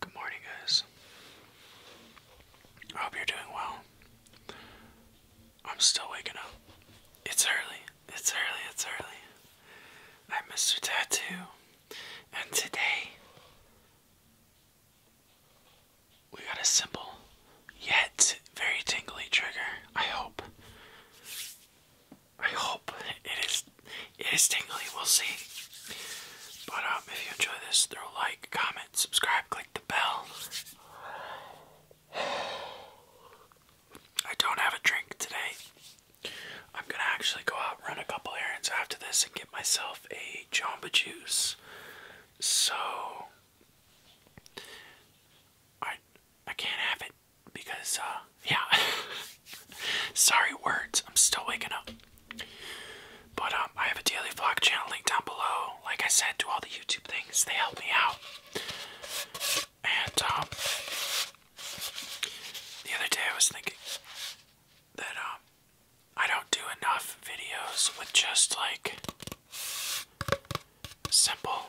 Good morning, guys. I hope you're doing well. I'm still waking up. It's early. It's early. It's early. I'm Mr. Tattoo, and today we got a simple yet very tingly trigger. I hope. I hope it is it is tingly, we'll see. But um if you enjoy this, throw like, comment, subscribe, click the bell. I don't have a drink today. I'm gonna actually go out, run a couple errands after this, and get myself a Jamba Juice. So I I can't have it because uh, yeah. Sorry, words. I'm still waking up. But um, I have a daily vlog channel linked down below. Like I said, do all the YouTube things. They help me out. And um, the other day I was thinking that um, I don't do enough videos with just like simple,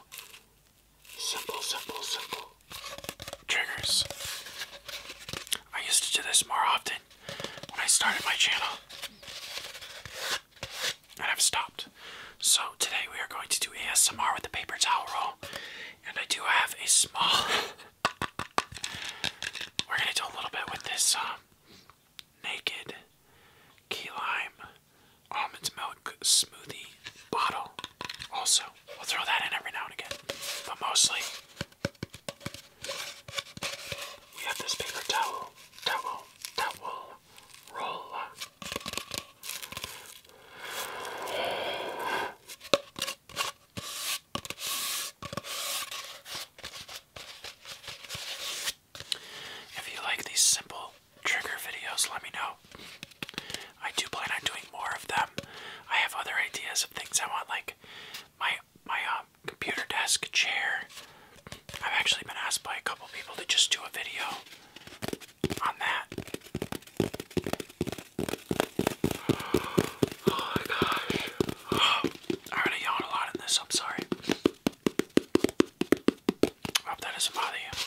simple, simple, simple triggers. I used to do this more often when I started my channel. And I've stopped. So today we are going to do ASMR with the paper towel roll. And I do have a small. We're gonna do a little bit with this um, naked key lime almond milk smoothie bottle. Also, we'll throw that in every now and again. But mostly, we have this paper towel, towel, towel, roll. If you like these simple trigger videos, let me know. I do plan on doing more of them. I have other ideas of things I want, like my my um, computer desk chair. I've actually been asked by a couple people to just do a video on that. Oh my gosh. Oh, I already yelled a lot in this, I'm sorry. hope that doesn't bother you.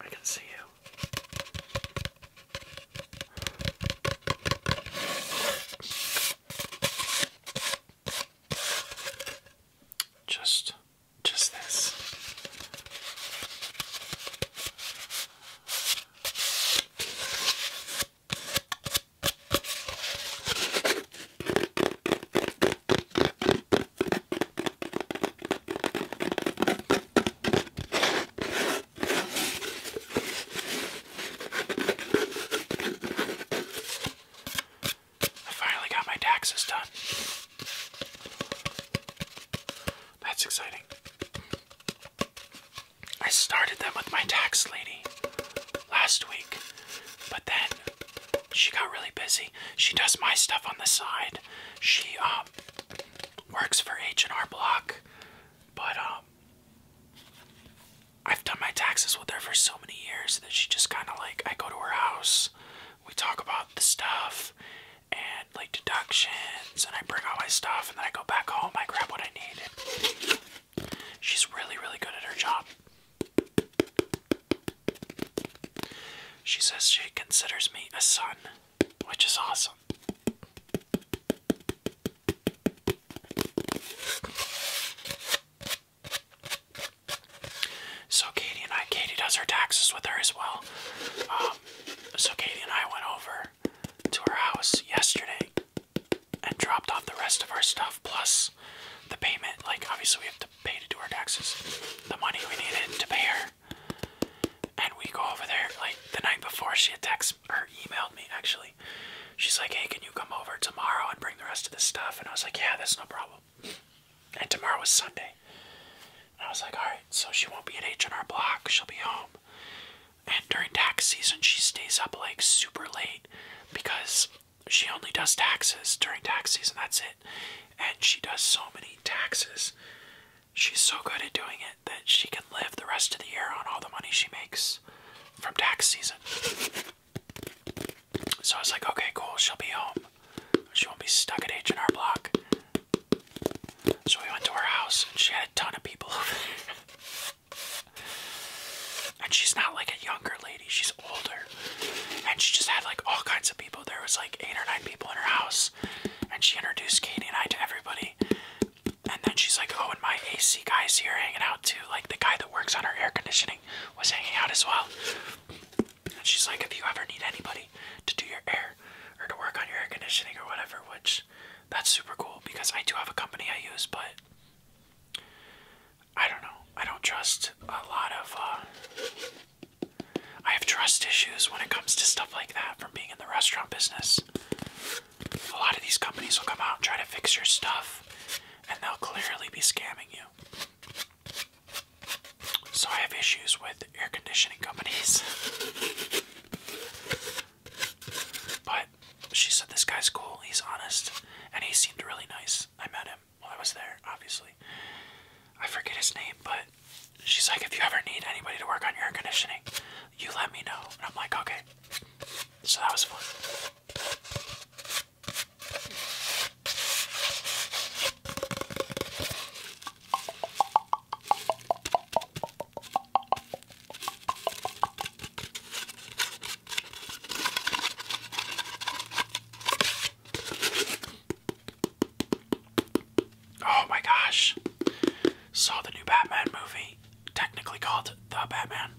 I can see you. Just just this. I finally got my taxes done. That's exciting. I started them with my tax lady last week, but then she got really busy. She does my stuff on the side. She um works for H&R Block, but um I've done my taxes with her for so many years that she just kind of like I go to her house, we talk about the stuff and like deductions, and I bring all my stuff, and then I go back home, I grab what I need. She's really, really good at her job. She says she considers me a son, which is awesome. So Katie and I, Katie does her taxes with her as well. Um, so Katie and I went over to her house yesterday and dropped off the rest of our stuff plus the payment. Like obviously we have to to pay to her taxes, the money we needed to pay her. And we go over there like the night before she had text or emailed me actually. She's like, Hey, can you come over tomorrow and bring the rest of this stuff? And I was like, Yeah, that's no problem. And tomorrow was Sunday. I was like, Alright, so she won't be at H and R block, she'll be home. And during tax season she stays up like super late because she only does taxes during tax season, that's it. And she does so many taxes. She's so good at doing it that she can live the rest of the year on all the money she makes from tax season. So I was like, okay, cool, she'll be home. She won't be stuck at H&R Block. So we went to her house and she had a ton of people over and she's not like a younger lady, she's older and she just had like all kinds of people. There was like eight or nine people in her house, and she introduced Katie and I to everybody. And then she's like, "Oh, and my AC guy's here hanging out too. Like the guy that works on her air conditioning was hanging out as well." And she's like, "If you ever need anybody to do your air or to work on your air conditioning or whatever," which that's super cool because I do have a company I use, but. I don't know. I don't trust a lot of uh, I have trust issues when it comes to stuff like that from being in the restaurant business. A lot of these companies will come out and try to fix your stuff, and they'll clearly be scamming you. So I have issues with air conditioning companies. but she said this guy's cool, he's honest, and he seemed really nice. I met him him while I was there, obviously. I forget his name, but she's like, if you ever need anybody to work on your air conditioning, you let me know. And I'm like, okay. So that was fun. Oh my gosh. Saw the new Batman movie, technically called The Batman.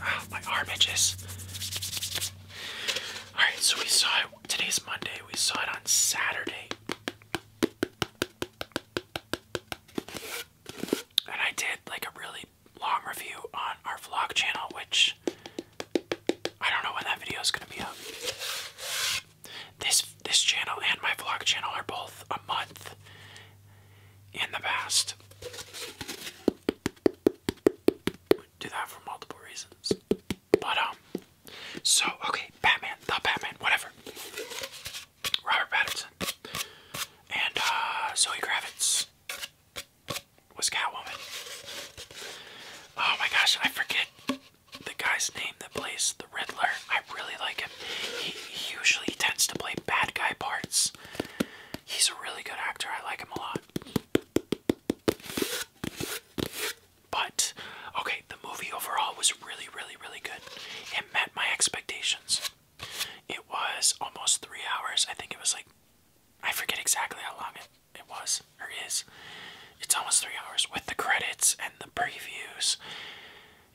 Ah, my arm itches. Alright, so we saw it. Today's Monday. We saw it on Saturday. And I did like a really long review on our vlog channel, which I don't know when that video is gonna be up. This this channel and my vlog channel are both a month in the past. Do that for multiple reasons. But um so okay, Batman, the Batman, whatever. Robert Pattinson. And uh, Zoe Kravitz was Catwoman. Oh my gosh, I forget the guy's name that plays the Riddler. I really like him. He, he usually tends to play bad guy parts. He's a really good actor. I like him a lot. But okay, the movie overall was really, really, really good. It met my expectations. It was almost three hours. I think it was like I forget exactly how long it it was or is. It's almost three hours with the credits and the previews.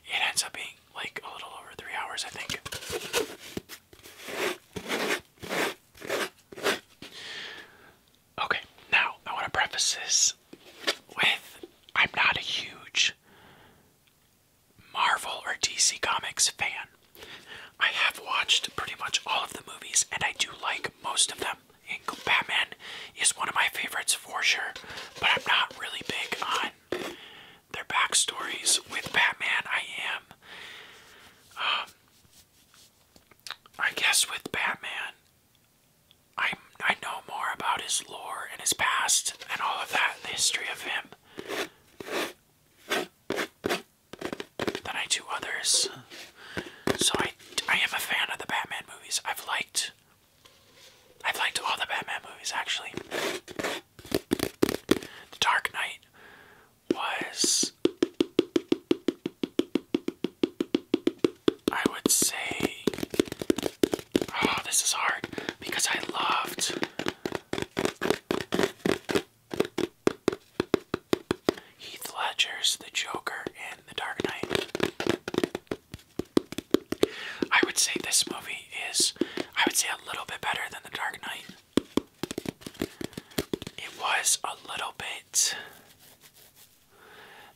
It ends up being like a little over three hours, I think. Okay, now I want to preface this with I'm not a huge Marvel or DC Comics fan. I have watched pretty much all of the movies, and I do like most of them. And Batman is one of my favorites for sure, but I'm not really big on their backstories. With Batman, I am. Um, I guess with Batman, I I know more about his lore and his past and all of that, the history of him than I do others. So I, I am a fan of the Batman movies. I've liked, I've liked all the Batman movies actually. The Dark Knight was, I would say, oh, this is hard because I loved Heath Ledger's The Joker in The Dark Knight. I would say this movie is, I would say, a little bit better than The Dark Knight. It was a little bit.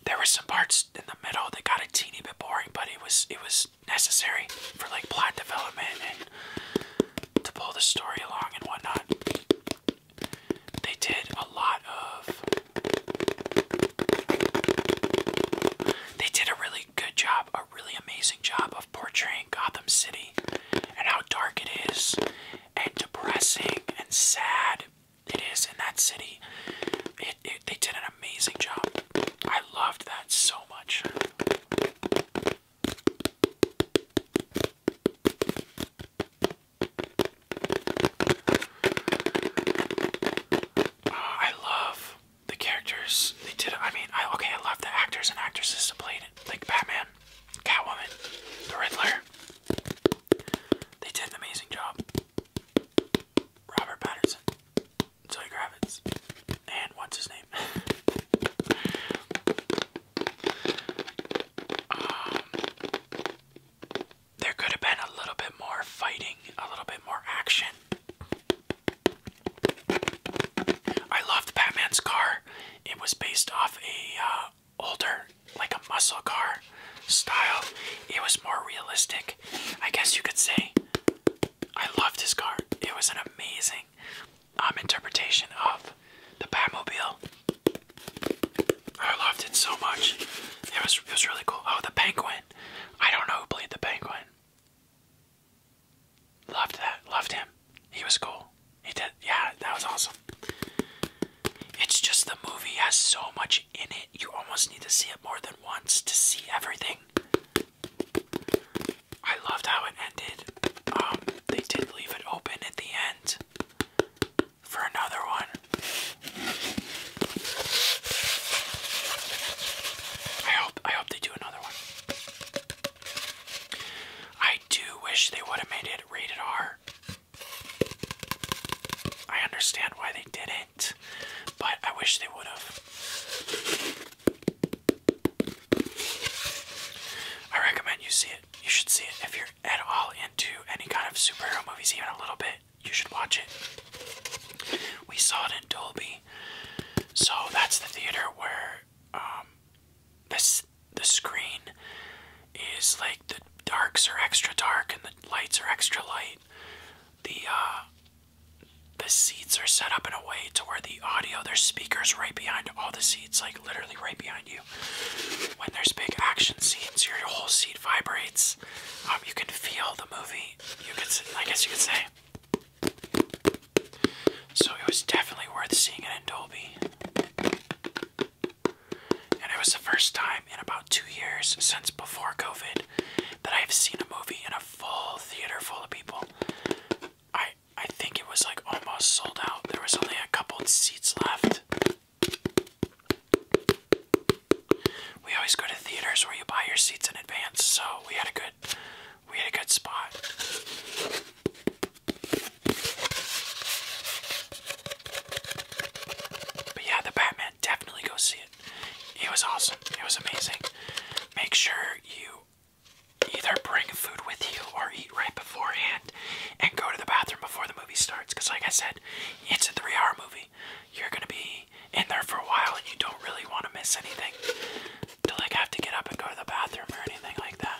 There were some parts in the middle that got a teeny bit boring, but it was it was necessary for like plot development and to pull the story along and whatnot they did a lot of. They did a really good job, a really amazing job of portraying Gotham City and how dark it is, and depressing and sad it is in that city. they did an amazing job. I loved that so much. Ah, I love the characters. They did. I mean, I okay. I love the actors and actresses that played it, like Batman, Catwoman, the Riddler. They did an amazing job. Robert Patterson, Zoe Kravitz, and what's his name? Um, there could have been a little bit more fighting, a little bit more action. I loved Batman's car. It was based off a uh, older, like a muscle car style. It was more realistic, I guess you could say. I loved his car. It was an amazing um, interpretation of the Batmobile. I loved it so much. It was it was really cool. Oh, the Penguin. I don't know who played the Penguin. Loved that. Loved him. He was cool. He did. Yeah, that was awesome. It's just the movie has so much in it. You almost need to see it more than once to see everything. I loved how it ended. Um, they did leave it open at the end for another one. I hope I hope they do another one. I do wish they would have made it rated R. I understand why they didn't, but I wish they would have. I recommend you see you should see it. If you're at all into any kind of superhero movies, even a little bit, you should watch it. We saw it in Dolby. So that's the theater where um, this the screen is like the darks are extra dark and the lights are extra light. The uh, the seats are set up in a way to where the audio, there's speakers right behind all the seats, like literally right behind you. When there's big action scenes, your whole seat vibrates. Um, you can feel the movie. You could, I guess, you could say. So it was definitely worth seeing it in Dolby. And it was the first time in about two years since before COVID that I've seen a movie in a full theater full of people. I I think it was like almost sold out. There was only a couple seats left. We always go to theaters where you buy your seats in advance, so we had a good we had a good spot. But yeah, the Batman, definitely go see it. It was awesome. It was amazing. Make sure you either bring food with you or eat right beforehand and go to the bathroom before the movie starts. Because, like I said, it's a three hour movie. You're going to be in there for a while and you don't really want to miss anything to like have to get up and go to the bathroom or anything like that.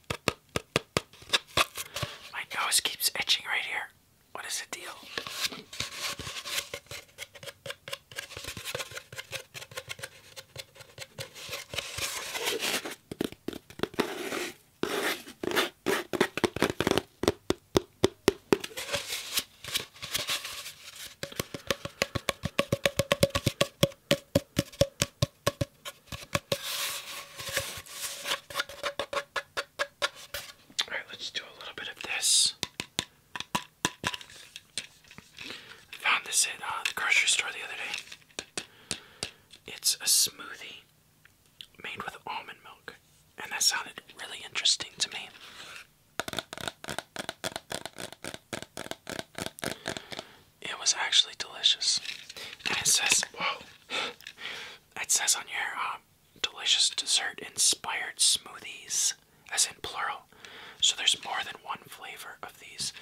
My nose keeps itching right here. What is the deal? All right, let's do a little bit of this. found this at uh, the grocery store the other day. It's a smoothie made with almond milk, and that sounded really interesting to me. It was actually delicious. And it says, whoa, it says on here, um, delicious dessert inspired smoothies, as in plural. So there's more than one flavor of these.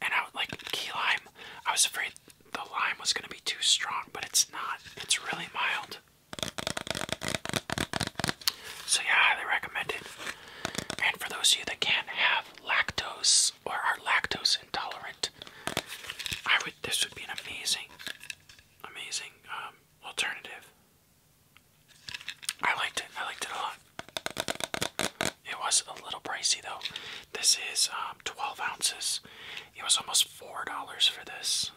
And I would like key lime. I was afraid the lime was going to be too strong, but it's not. It's really mild. So yeah, I highly recommend it. And for those of you that can't have lactose, or are lactose intolerant, I would. This would be an amazing, amazing um, alternative. I liked it. I liked it a lot. It was a little pricey though. This is um, 12 ounces. It was almost four dollars for this.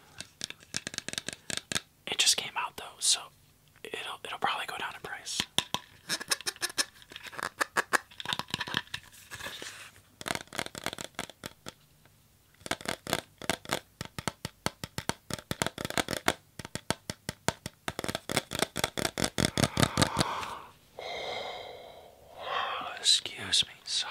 It just came out though, so it'll it'll probably go down in price. Excuse me, sorry.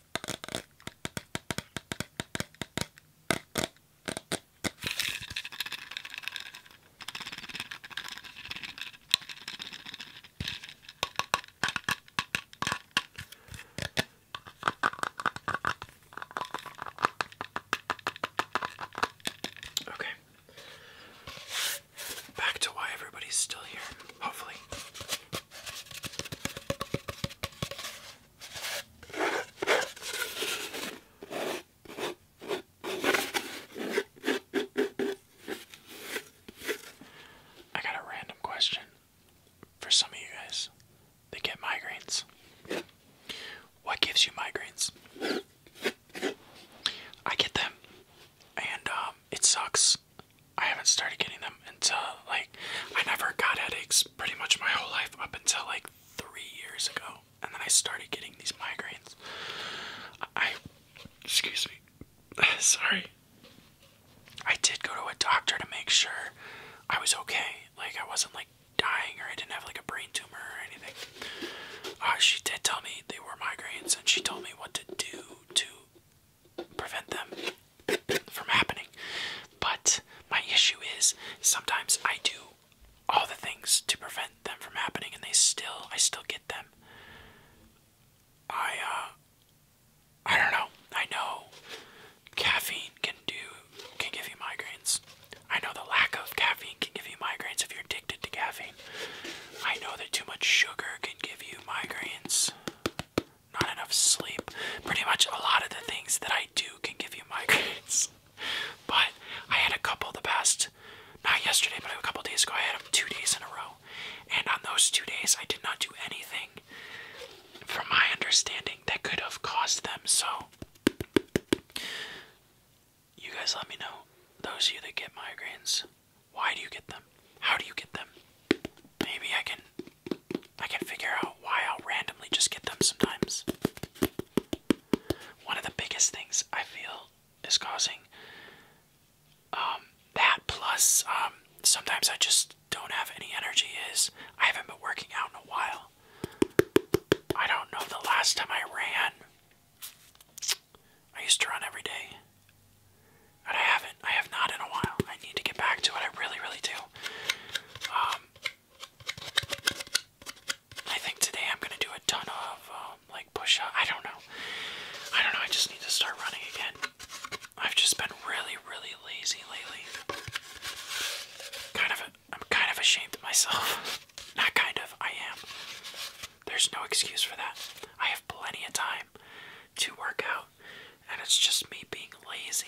Okay. Back to why everybody's still here, hopefully. I got a random question for some of you guys they get migraines. What gives you migraines? I get them, and um, it sucks. I haven't started getting them until like I never got headaches pretty much my whole life up until like three years ago, and then I started getting these migraines. I, excuse me, sorry. I did go to a doctor to make sure I was okay, like I wasn't like dying or I didn't have like a brain tumor or anything. Uh, she did tell me they were migraines, and she told me what to do to prevent them from happening. But my issue is sometimes I do all the things to prevent them from happening and they still I still get them. I uh, I don't know. I know caffeine can do can give you migraines. I know the lack of caffeine can give you migraines if you're addicted to caffeine. I know that too much sugar can give you migraines not enough sleep. Pretty much a lot of the things that I do can give you migraines. but I had a couple the past, not yesterday, but a couple days ago, I had them two days in a row. And on those two days, I did not do anything, from my understanding, that could have caused them. So, you guys let me know, those of you that get migraines, why do you get them? How do you get them? Maybe I can I can figure out why I'll randomly just get them sometimes. One of the biggest things I feel is causing um, that plus um, sometimes I just don't have any energy is I haven't been working out in a while. I don't know the last time I ran. I used to run every day. And I haven't. I have not in a while. I need to get back to it. I really, really do. Um, I think today I'm gonna do a ton of um, like push up. I don't know. I don't know. I just need to start running again. I've just been really, really lazy lately. Kind of. A, I'm kind of ashamed of myself. Not kind of. I am. There's no excuse for that. I have plenty of time to work out and it's just me being lazy.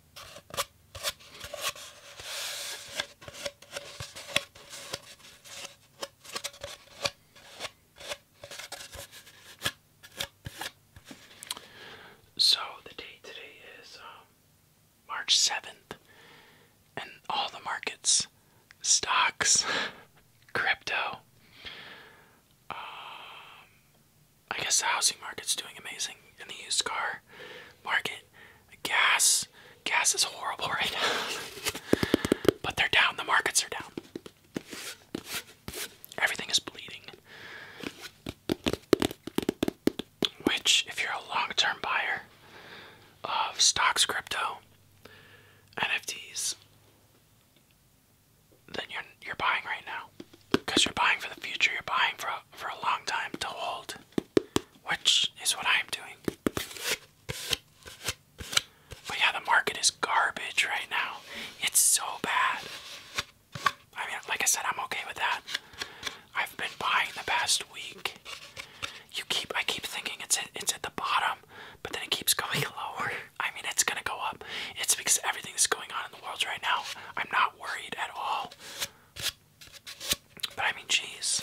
So the date today is um, March 7th, and all the markets, stocks, crypto, um, I guess the housing market's doing amazing, and the used car market Gas, gas is horrible right now. but they're down. The markets are down. Everything is bleeding. Which, if you're a long-term buyer of stocks, crypto, NFTs, then you're you're buying right now because you're buying for the future. You're buying for for a long time to hold, which is what I'm doing. But yeah, the market is garbage right now. It's so bad. I mean, like I said, I'm okay with that. I've been buying the past week. You keep, I keep thinking it's at, it's at the bottom, but then it keeps going lower. I mean, it's gonna go up. It's because everything's going on in the world right now. I'm not worried at all. But I mean, jeez.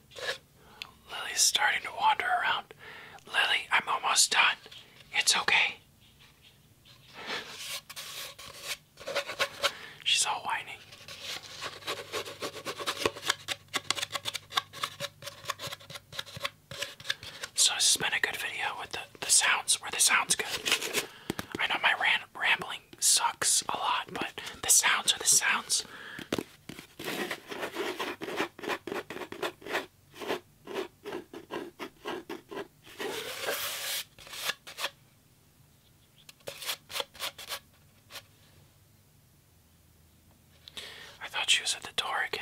Lily's starting to wander around. Lily, I'm almost done. It's okay. She's all whining. So this has been a good video with the, the sounds where the sounds good. I know my rant rambling sucks a lot, but the sounds are the sounds. I thought she was at the door again.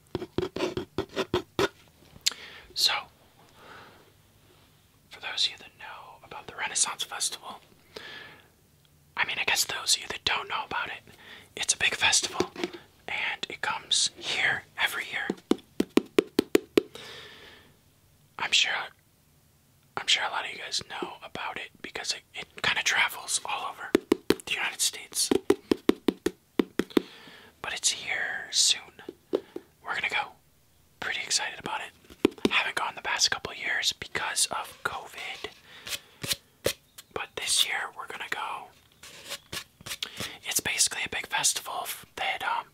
So, for those of you that know about the Renaissance Festival, I mean, I guess those of you that don't know about it, it's a big festival and it comes here every year. I'm sure I'm sure a lot of you guys know about it because it, it kind of travels all over the United States. But it's here soon. We're gonna go. Pretty excited about it. Haven't gone the past couple years because of COVID. But this year we're gonna go. It's basically a big festival that um,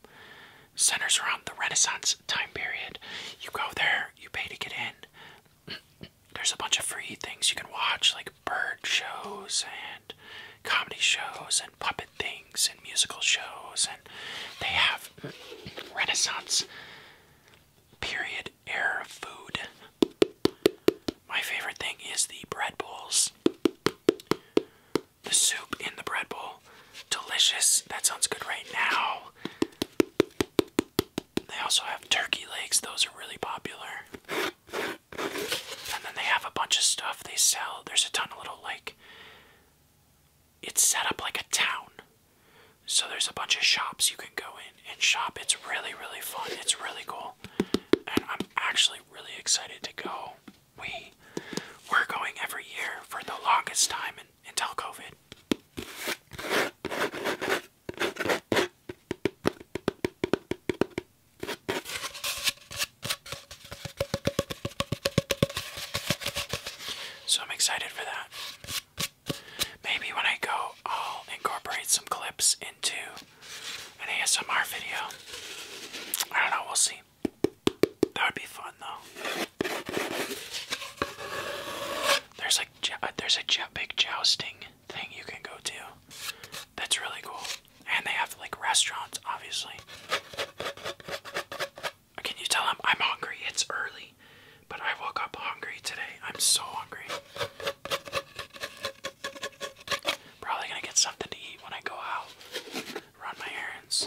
centers around the Renaissance time period. You go there, you pay to get in. There's a bunch of free things you can watch, like bird shows and comedy shows and puppet things and musical shows and they have renaissance period era food my favorite thing is the bread bowls the soup in the bread bowl delicious that sounds good right now they also have turkey legs those are really popular and then they have a bunch of stuff they sell. There's a ton of little, like, it's set up like a town. So there's a bunch of shops you can go in and shop. It's really, really fun. It's really cool. And I'm actually really excited to go. We we're going every year for the longest time until COVID. So I'm excited for that. Maybe when I go, I'll incorporate some clips into an ASMR video. I don't know, we'll see. That would be fun though. There's like uh, there's a big jousting thing you can go to. That's really cool. And they have like restaurants, obviously. Can you tell i I'm hungry? It's early, but I woke up hungry today. I'm so hungry. Probably gonna get something to eat when I go out, run my errands.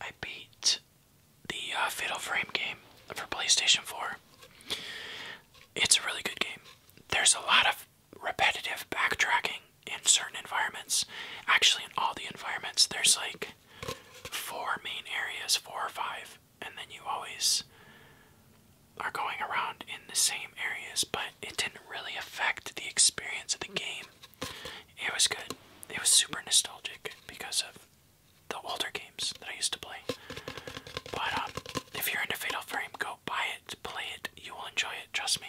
I beat the uh, Fatal Frame game for PlayStation 4. It's a really good game. There's a lot of repetitive backtracking in certain environments. Actually, in all the environments, there's like four main areas, four or five, and then you always are going around in the same areas, but it didn't really affect the experience of the game. It was good. It was super nostalgic because of the older games that I used to play. But um, if you're into Fatal Frame, go buy it, play it. You will enjoy it. Trust me.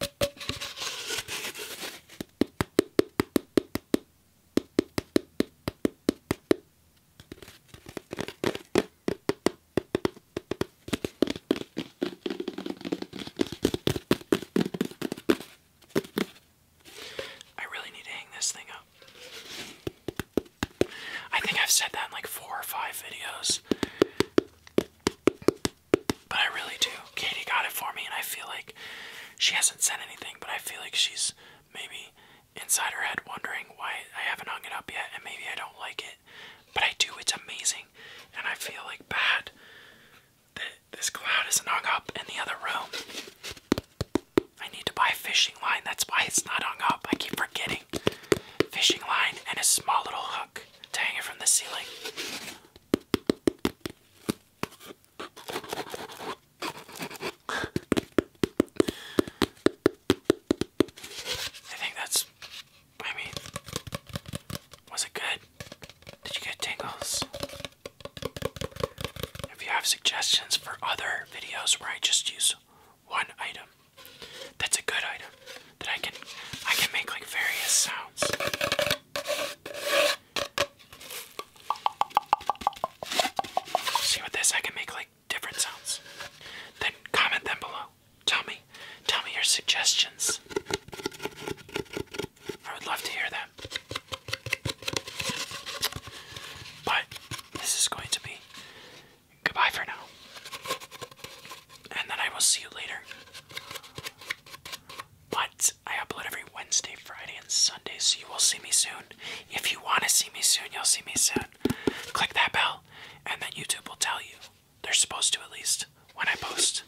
I really need to hang this thing up. I think I've said that in like four or five videos. But I really do. Katie got it for me, and I feel like she hasn't said anything, but I feel like she's maybe inside her head wondering why I haven't hung it up yet, and maybe I don't like it. But I do, it's amazing. And I feel like bad that this cloud isn't hung up in the other room. I need to buy a fishing line, that's why it's not hung up. I keep forgetting. Fishing line and a small little hook to hang it from the ceiling. I think that's. I mean, was it good? Did you get tingles? If you have suggestions for other videos where I just use one item, that's a good item that I can I can make like various sounds. See with this I can make like different sounds. Then comment them below. Tell me. Tell me your suggestions. I would love to hear them. But this is going to be goodbye for now. And then I will see you later. But I upload every Wednesday, Friday, and Sunday, so you will see me soon. If you want to see me soon, you'll see me soon. Click that bell, and then YouTube will tell you. They're supposed to, at least, when I post.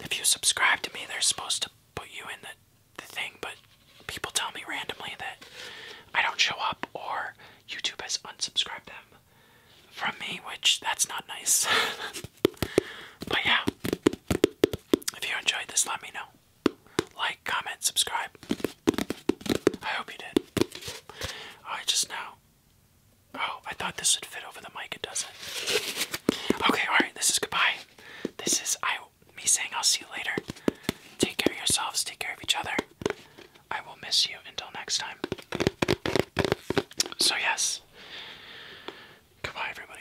If you subscribe to me, they're supposed to put you in the, the thing, but people tell me randomly that I don't show up or YouTube has unsubscribed them from me, which that's not nice. but yeah, if you enjoyed this, let me know. Like, comment, subscribe. I hope you did. Oh, I just now. Oh, I thought this would fit over the mic. It doesn't. Okay, alright, this is goodbye. This is I me saying I'll see you later. Take care of yourselves, take care of each other. I will miss you until next time. So, yes. Goodbye, everybody.